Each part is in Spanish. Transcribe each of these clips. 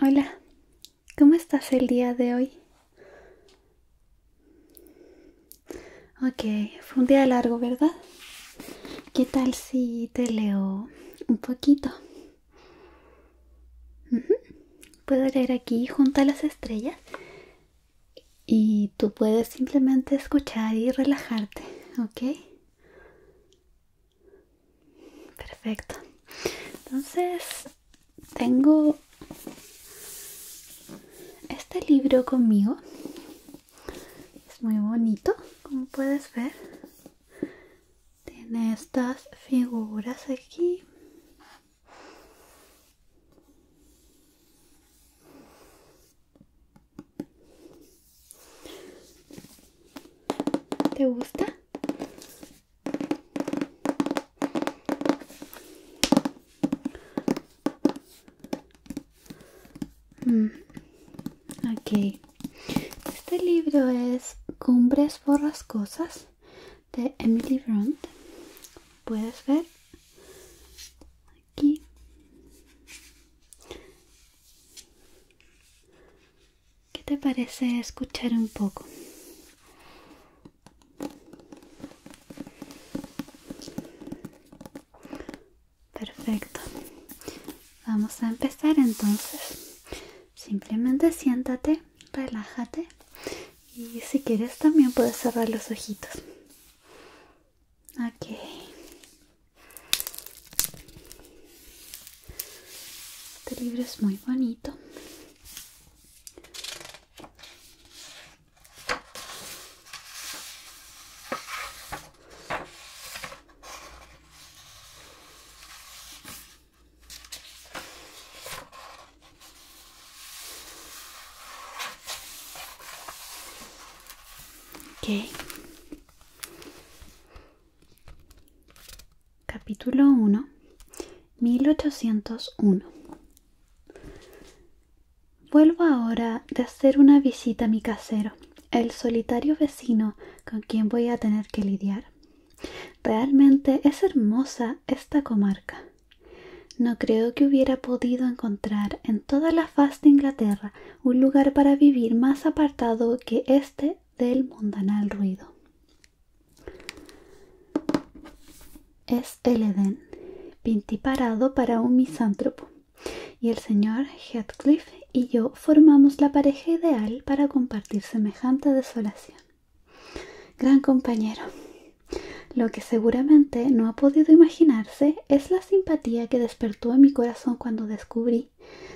Hola, ¿cómo estás el día de hoy? Ok, fue un día largo, ¿verdad? ¿Qué tal si te leo un poquito? Puedo leer aquí junto a las estrellas y tú puedes simplemente escuchar y relajarte, ¿ok? Perfecto. Entonces, tengo este libro conmigo. Es muy bonito, como puedes ver. Tiene estas figuras aquí. ¿Te gusta? Mm. Ok. Este libro es Cumbres borrascosas de Emily Brandt. Puedes ver aquí. ¿Qué te parece escuchar un poco? Perfecto. Vamos a empezar entonces. Simplemente siéntate, relájate y si quieres también puedes cerrar los ojitos. Ok. Este libro es muy bonito. Okay. Capítulo 1 1801 Vuelvo ahora de hacer una visita a mi casero, el solitario vecino con quien voy a tener que lidiar. Realmente es hermosa esta comarca. No creo que hubiera podido encontrar en toda la faz de Inglaterra un lugar para vivir más apartado que este del mundanal ruido. Es el Edén, parado para un misántropo, y el señor Heathcliff y yo formamos la pareja ideal para compartir semejante desolación. Gran compañero. Lo que seguramente no ha podido imaginarse es la simpatía que despertó en mi corazón cuando descubrí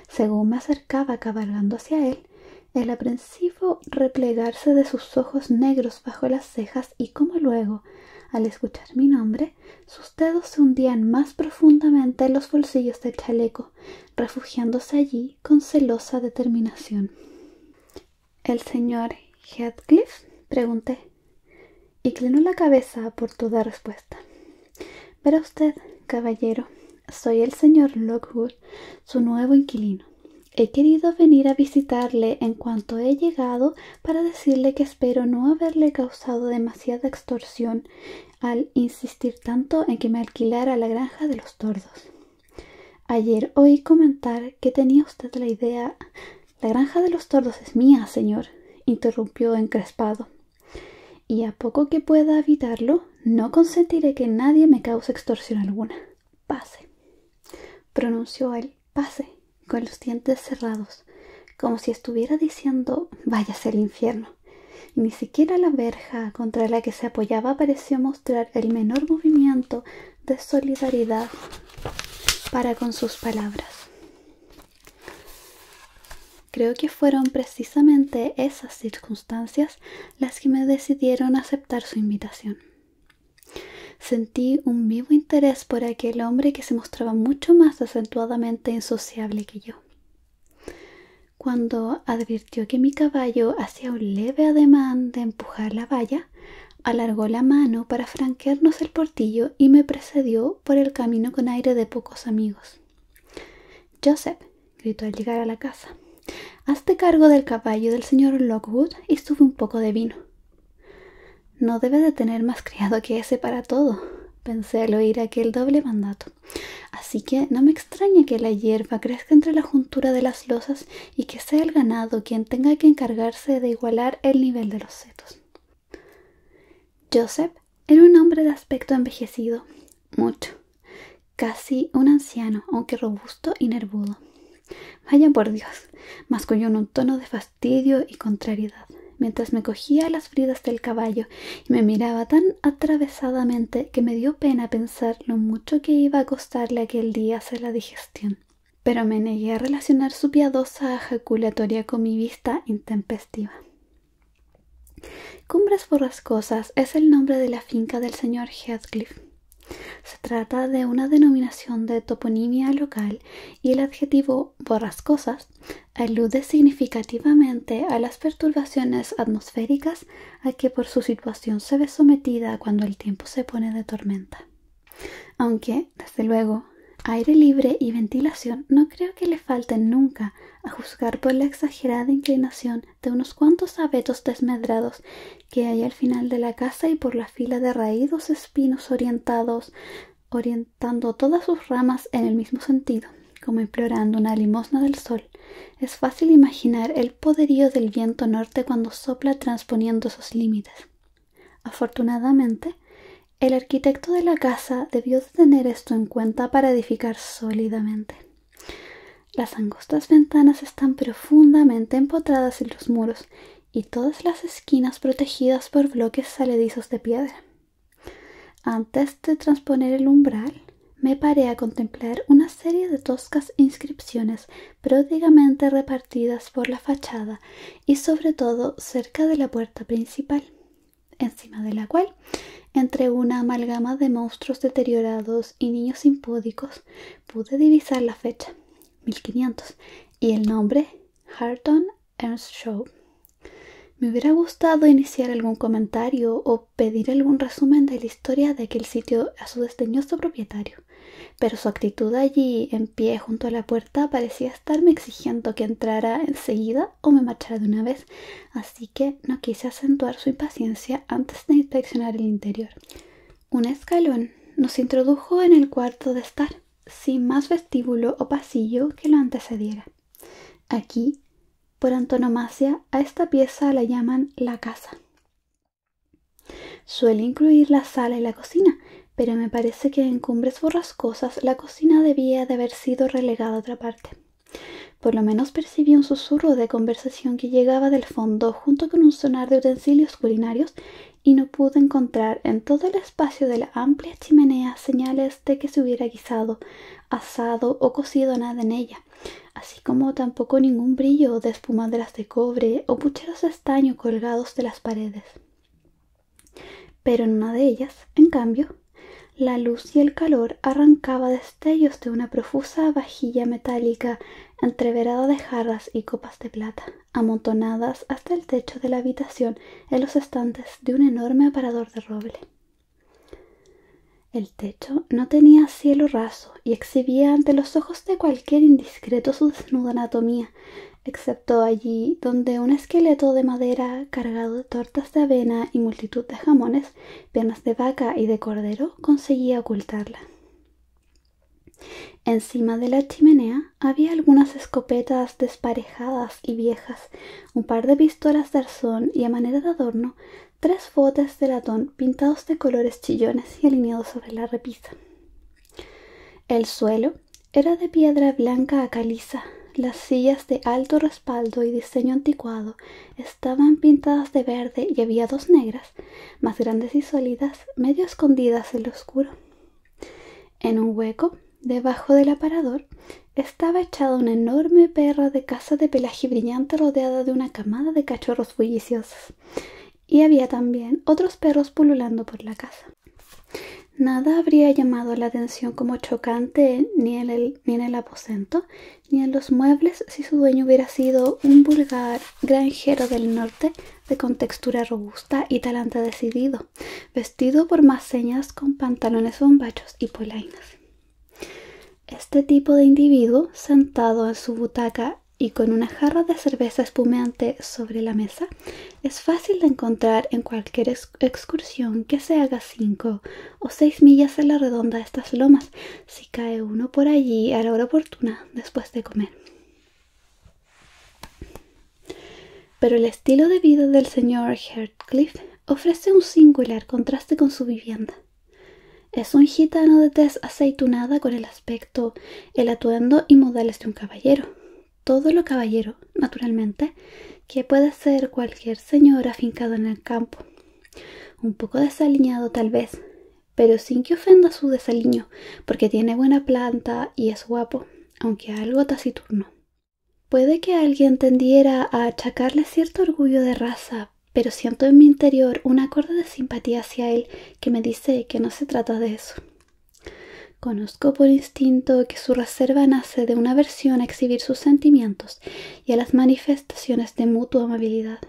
según me acercaba cabalgando hacia él, el aprensivo replegarse de sus ojos negros bajo las cejas y como luego, al escuchar mi nombre, sus dedos se hundían más profundamente en los bolsillos del chaleco, refugiándose allí con celosa determinación. ¿El señor Heathcliff? pregunté, y inclinó la cabeza por toda respuesta. Verá usted, caballero, soy el señor Lockwood, su nuevo inquilino. He querido venir a visitarle en cuanto he llegado para decirle que espero no haberle causado demasiada extorsión al insistir tanto en que me alquilara la granja de los tordos. Ayer oí comentar que tenía usted la idea. La granja de los tordos es mía, señor, interrumpió encrespado. Y a poco que pueda evitarlo no consentiré que nadie me cause extorsión alguna. Pase. Pronunció él, pase, con los dientes cerrados, como si estuviera diciendo váyase al infierno. ni siquiera la verja contra la que se apoyaba pareció mostrar el menor movimiento de solidaridad para con sus palabras. Creo que fueron precisamente esas circunstancias las que me decidieron aceptar su invitación. Sentí un vivo interés por aquel hombre que se mostraba mucho más acentuadamente insociable que yo. Cuando advirtió que mi caballo hacía un leve ademán de empujar la valla, alargó la mano para franquearnos el portillo y me precedió por el camino con aire de pocos amigos. Joseph, gritó al llegar a la casa. Hazte cargo del caballo del señor Lockwood y sube un poco de vino. No debe de tener más criado que ese para todo, pensé al oír aquel doble mandato. Así que no me extraña que la hierba crezca entre la juntura de las losas y que sea el ganado quien tenga que encargarse de igualar el nivel de los setos. Joseph era un hombre de aspecto envejecido, mucho, casi un anciano, aunque robusto y nervudo. Vaya por Dios, masculló en un tono de fastidio y contrariedad, mientras me cogía las fridas del caballo y me miraba tan atravesadamente que me dio pena pensar lo mucho que iba a costarle aquel día hacer la digestión. Pero me negué a relacionar su piadosa ejaculatoria con mi vista intempestiva. Cumbres Borrascosas es el nombre de la finca del señor Heathcliff. Se trata de una denominación de toponimia local y el adjetivo borrascosas alude significativamente a las perturbaciones atmosféricas a que por su situación se ve sometida cuando el tiempo se pone de tormenta. Aunque, desde luego, aire libre y ventilación no creo que le falten nunca a juzgar por la exagerada inclinación de unos cuantos abetos desmedrados que hay al final de la casa y por la fila de raídos espinos orientados, orientando todas sus ramas en el mismo sentido, como implorando una limosna del sol. Es fácil imaginar el poderío del viento norte cuando sopla transponiendo sus límites. Afortunadamente, el arquitecto de la casa debió de tener esto en cuenta para edificar sólidamente. Las angostas ventanas están profundamente empotradas en los muros y todas las esquinas protegidas por bloques saledizos de piedra. Antes de transponer el umbral, me paré a contemplar una serie de toscas inscripciones pródigamente repartidas por la fachada y sobre todo cerca de la puerta principal, encima de la cual, entre una amalgama de monstruos deteriorados y niños impúdicos, pude divisar la fecha, 1500, y el nombre, Harton Ernst Shaw. Me hubiera gustado iniciar algún comentario o pedir algún resumen de la historia de aquel sitio a su desdeñoso propietario, pero su actitud allí, en pie junto a la puerta, parecía estarme exigiendo que entrara enseguida o me marchara de una vez, así no quise acentuar su impaciencia antes de inspeccionar el interior. Un escalón nos introdujo en el cuarto de estar, sin más vestíbulo o pasillo que lo antecediera. Aquí, por antonomasia, a esta pieza la llaman la casa. Suele incluir la sala y la cocina, pero me parece que en cumbres borrascosas la cocina debía de haber sido relegada a otra parte. Por lo menos percibí un susurro de conversación que llegaba del fondo junto con un sonar de utensilios culinarios y no pude encontrar en todo el espacio de la amplia chimenea señales de que se hubiera guisado, asado o cocido nada en ella, así como tampoco ningún brillo de espumaderas de cobre o pucheros de estaño colgados de las paredes. Pero en una de ellas, en cambio, la luz y el calor arrancaba de de una profusa vajilla metálica entreverada de jarras y copas de plata, amontonadas hasta el techo de la habitación en los estantes de un enorme aparador de roble. El techo no tenía cielo raso y exhibía ante los ojos de cualquier indiscreto su desnuda anatomía, excepto allí donde un esqueleto de madera cargado de tortas de avena y multitud de jamones, piernas de vaca y de cordero conseguía ocultarla. Encima de la chimenea había algunas escopetas desparejadas y viejas, un par de pistolas de arzón y a manera de adorno tres botes de latón pintados de colores chillones y alineados sobre la repisa. El suelo era de piedra blanca a caliza. Las sillas de alto respaldo y diseño anticuado estaban pintadas de verde y había dos negras más grandes y sólidas medio escondidas en lo oscuro. En un hueco, debajo del aparador, estaba echada una enorme perra de caza de pelaje brillante rodeada de una camada de cachorros bulliciosos, y había también otros perros pululando por la casa. Nada habría llamado la atención como chocante ni en el aposento, ni en los muebles si su dueño hubiera sido un vulgar granjero del norte de contextura robusta y talante decidido, vestido por más señas con pantalones bombachos y polainas. Este tipo de individuo, sentado en su butaca y con una jarra de cerveza espumeante sobre la mesa, es fácil de encontrar en cualquier excursión que se haga cinco o seis millas en la redonda de estas lomas, si cae uno por allí a la hora oportuna después de comer. Pero el estilo de vida del señor Heathcliff ofrece un singular contraste con su vivienda. Es un gitano de tez aceitunada con el aspecto, el atuendo y modales de un caballero. Todo lo caballero, naturalmente, que puede ser cualquier señor afincado en el campo. Un poco desaliñado tal vez, pero sin que ofenda su desaliño, porque tiene buena planta y es guapo, aunque algo taciturno. Puede que alguien tendiera a achacarle cierto orgullo de raza, pero siento en mi interior una acorde de simpatía hacia él que me dice que no se trata de eso. Conozco por instinto que su reserva nace de una aversión a exhibir sus sentimientos y a las manifestaciones de mutua amabilidad.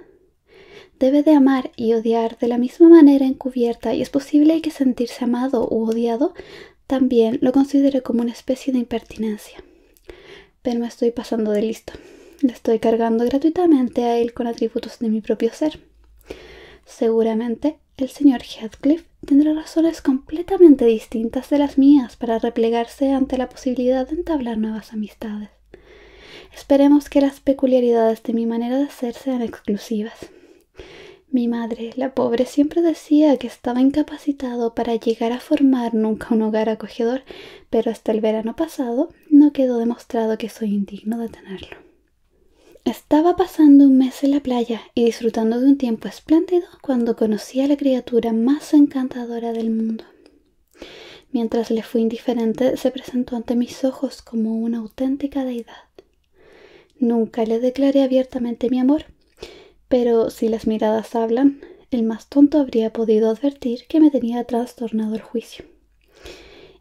Debe de amar y odiar de la misma manera encubierta y es posible que sentirse amado u odiado también lo considere como una especie de impertinencia. Pero me estoy pasando de listo. Le estoy cargando gratuitamente a él con atributos de mi propio ser. Seguramente el señor Heathcliff tendrá razones completamente distintas de las mías para replegarse ante la posibilidad de entablar nuevas amistades. Esperemos que las peculiaridades de mi manera de hacer sean exclusivas. Mi madre, la pobre, siempre decía que estaba incapacitado para llegar a formar nunca un hogar acogedor, pero hasta el verano pasado no quedó demostrado que soy indigno de tenerlo. Estaba pasando un mes en la playa y disfrutando de un tiempo espléndido cuando conocí a la criatura más encantadora del mundo. Mientras le fui indiferente, se presentó ante mis ojos como una auténtica deidad. Nunca le declaré abiertamente mi amor, pero si las miradas hablan, el más tonto habría podido advertir que me tenía trastornado el juicio.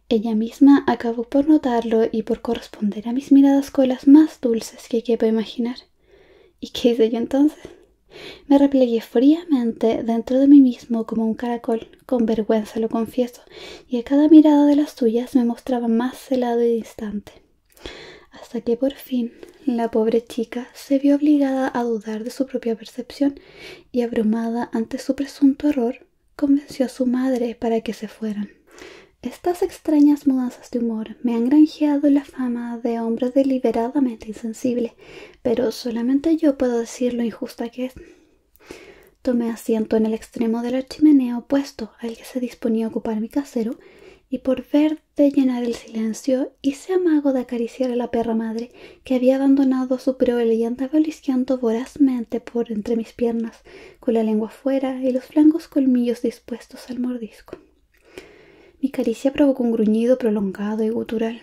Ella misma acabó por notarlo y por corresponder a mis miradas con las más dulces que quepa imaginar. ¿Y qué hice yo entonces? Me replegué fríamente dentro de mí mismo como un caracol con vergüenza lo confieso, y a cada mirada de las suyas me mostraba más celado y distante. Hasta que por fin la pobre chica se vio obligada a dudar de su propia percepción y abrumada ante su presunto error, convenció a su madre para que se fueran. Estas extrañas mudanzas de humor me han granjeado la fama de hombre deliberadamente insensible, pero solamente yo puedo decir lo injusta que es. Tomé asiento en el extremo de la chimenea opuesto al que se disponía a ocupar mi casero, y por ver de llenar el silencio hice amago de acariciar a la perra madre que había abandonado su prole y andaba lisqueando vorazmente por entre mis piernas, con la lengua fuera y los blancos colmillos dispuestos al mordisco. Mi caricia provocó un gruñido prolongado y gutural.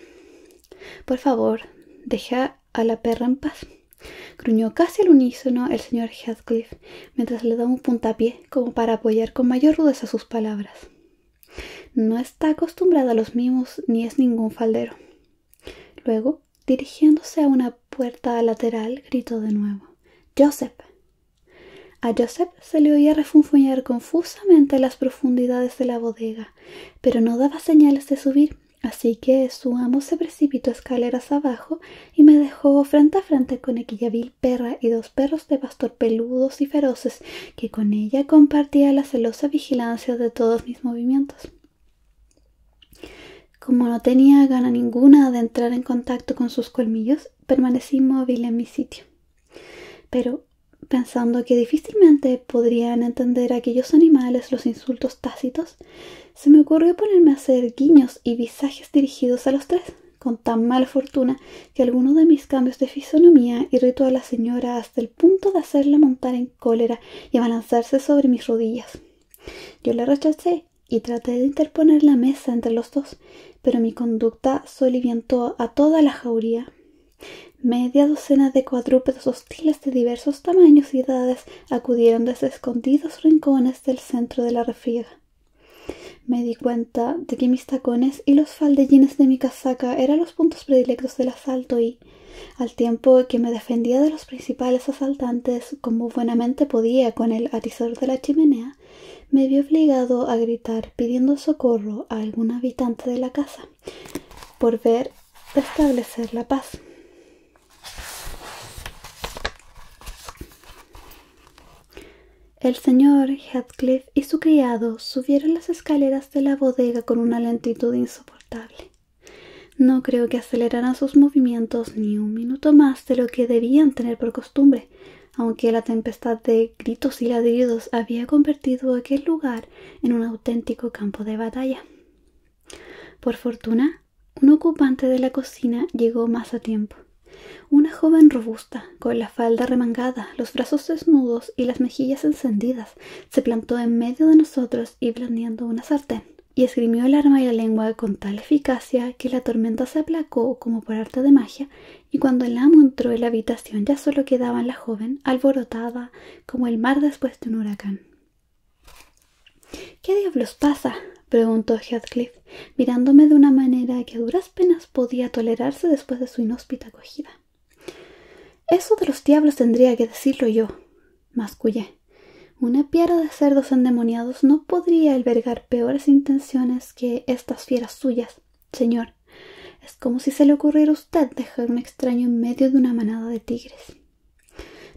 Por favor, deja a la perra en paz. Gruñó casi al unísono el señor Heathcliff mientras le daba un puntapié como para apoyar con mayor rudeza sus palabras. No está acostumbrada a los mimos ni es ningún faldero. Luego, dirigiéndose a una puerta lateral, gritó de nuevo: Joseph. A Joseph se le oía refunfuñar confusamente las profundidades de la bodega, pero no daba señales de subir Así que su amo se precipitó escaleras abajo y me dejó frente a frente con aquella vil perra y dos perros de pastor peludos y feroces que con ella compartía la celosa vigilancia de todos mis movimientos. Como no tenía gana ninguna de entrar en contacto con sus colmillos, permanecí inmóvil en mi sitio. Pero pensando que difícilmente podrían entender aquellos animales los insultos tácitos, se me ocurrió ponerme a hacer guiños y visajes dirigidos a los tres, con tan mala fortuna que alguno de mis cambios de fisonomía irritó a la señora hasta el punto de hacerla montar en cólera y abalanzarse sobre mis rodillas. Yo la rechacé y traté de interponer la mesa entre los dos, pero mi conducta soliviantó a toda la jauría. Media docena de cuadrúpedos hostiles de diversos tamaños y edades acudieron desde escondidos rincones del centro de la refriega. Me di cuenta de que mis tacones y los faldellines de mi casaca eran los puntos predilectos del asalto y, al tiempo que me defendía de los principales asaltantes como buenamente podía con el atizador de la chimenea, me vi obligado a gritar pidiendo socorro a algún habitante de la casa por ver establecer la paz. El señor Heathcliff y su criado subieron las escaleras de la bodega con una lentitud insoportable. No creo que aceleraran sus movimientos ni un minuto más de lo que debían tener por costumbre, aunque la tempestad de gritos y ladridos había convertido aquel lugar en un auténtico campo de batalla. Por fortuna, un ocupante de la cocina llegó más a tiempo. Una joven robusta, con la falda remangada, los brazos desnudos y las mejillas encendidas, se plantó en medio de nosotros y blandiendo una sartén, y esgrimió el arma y la lengua con tal eficacia que la tormenta se aplacó como por arte de magia, y cuando el amo entró en la habitación ya solo quedaba la joven alborotada como el mar después de un huracán. ¿Qué diablos pasa? preguntó Heathcliff, mirándome de una manera que a duras penas podía tolerarse después de su inhóspita acogida. Eso de los diablos tendría que decirlo yo, mascullé. Una piara de cerdos endemoniados no podría albergar peores intenciones que estas fieras suyas, señor. Es como si se le ocurriera a usted dejar un extraño en medio de una manada de tigres.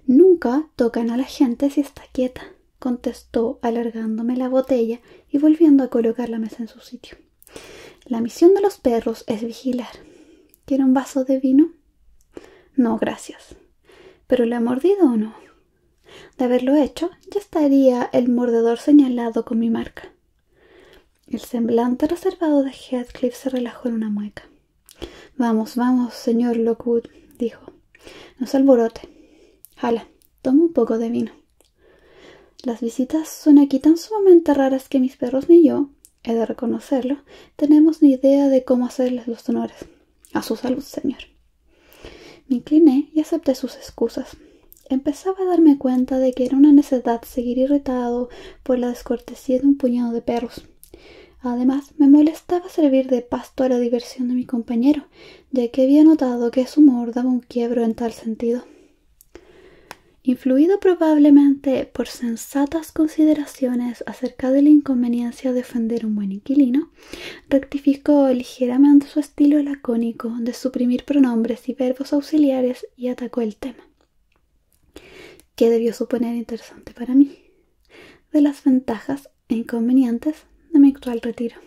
Nunca tocan a la gente si está quieta, contestó alargándome la botella y volviendo a colocar la mesa en su sitio. La misión de los perros es vigilar. ¿Quiere un vaso de vino? No, gracias. ¿Pero le ha mordido o no? De haberlo hecho, ya estaría el mordedor señalado con mi marca. El semblante reservado de Heathcliff se relajó en una mueca. Vamos, vamos, señor Lockwood, dijo. No se alborote. Jala, toma un poco de vino. Las visitas son aquí tan sumamente raras que mis perros ni yo, he de reconocerlo, tenemos ni idea de cómo hacerles los honores. A su salud, señor. Me incliné y acepté sus excusas. Empezaba a darme cuenta de que era una necesidad seguir irritado por la descortesía de un puñado de perros. Además, me molestaba servir de pasto a la diversión de mi compañero, ya que había notado que su humor daba un quiebro en tal sentido. Influido probablemente por sensatas consideraciones acerca de la inconveniencia de ofender un buen inquilino, rectificó ligeramente su estilo lacónico de suprimir pronombres y verbos auxiliares y atacó el tema que debió suponer interesante para mí, de las ventajas e inconvenientes de mi actual retiro.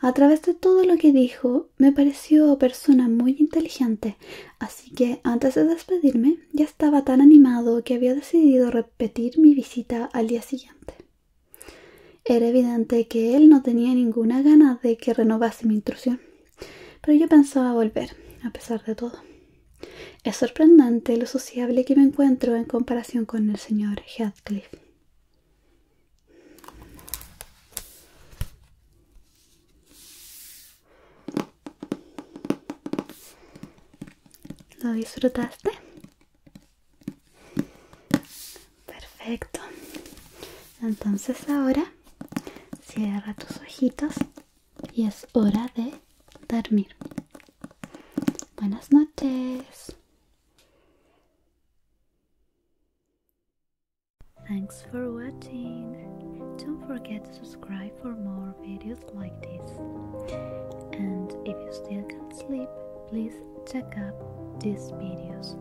A través de todo lo que dijo, me pareció persona muy inteligente, así que antes de despedirme ya estaba tan animado que había decidido repetir mi visita al día siguiente. Era evidente que él no tenía ninguna gana de que renovase mi intrusión pero yo pensaba volver, a pesar de todo. Es sorprendente lo sociable que me encuentro en comparación con el señor Heathcliff. ¿Lo disfrutaste? Perfecto. Entonces ahora cierra tus ojitos es hora de dormir. Buenas noches. Thanks for watching. Don't forget to subscribe for more videos like this. And if you still can't sleep, please check out these videos.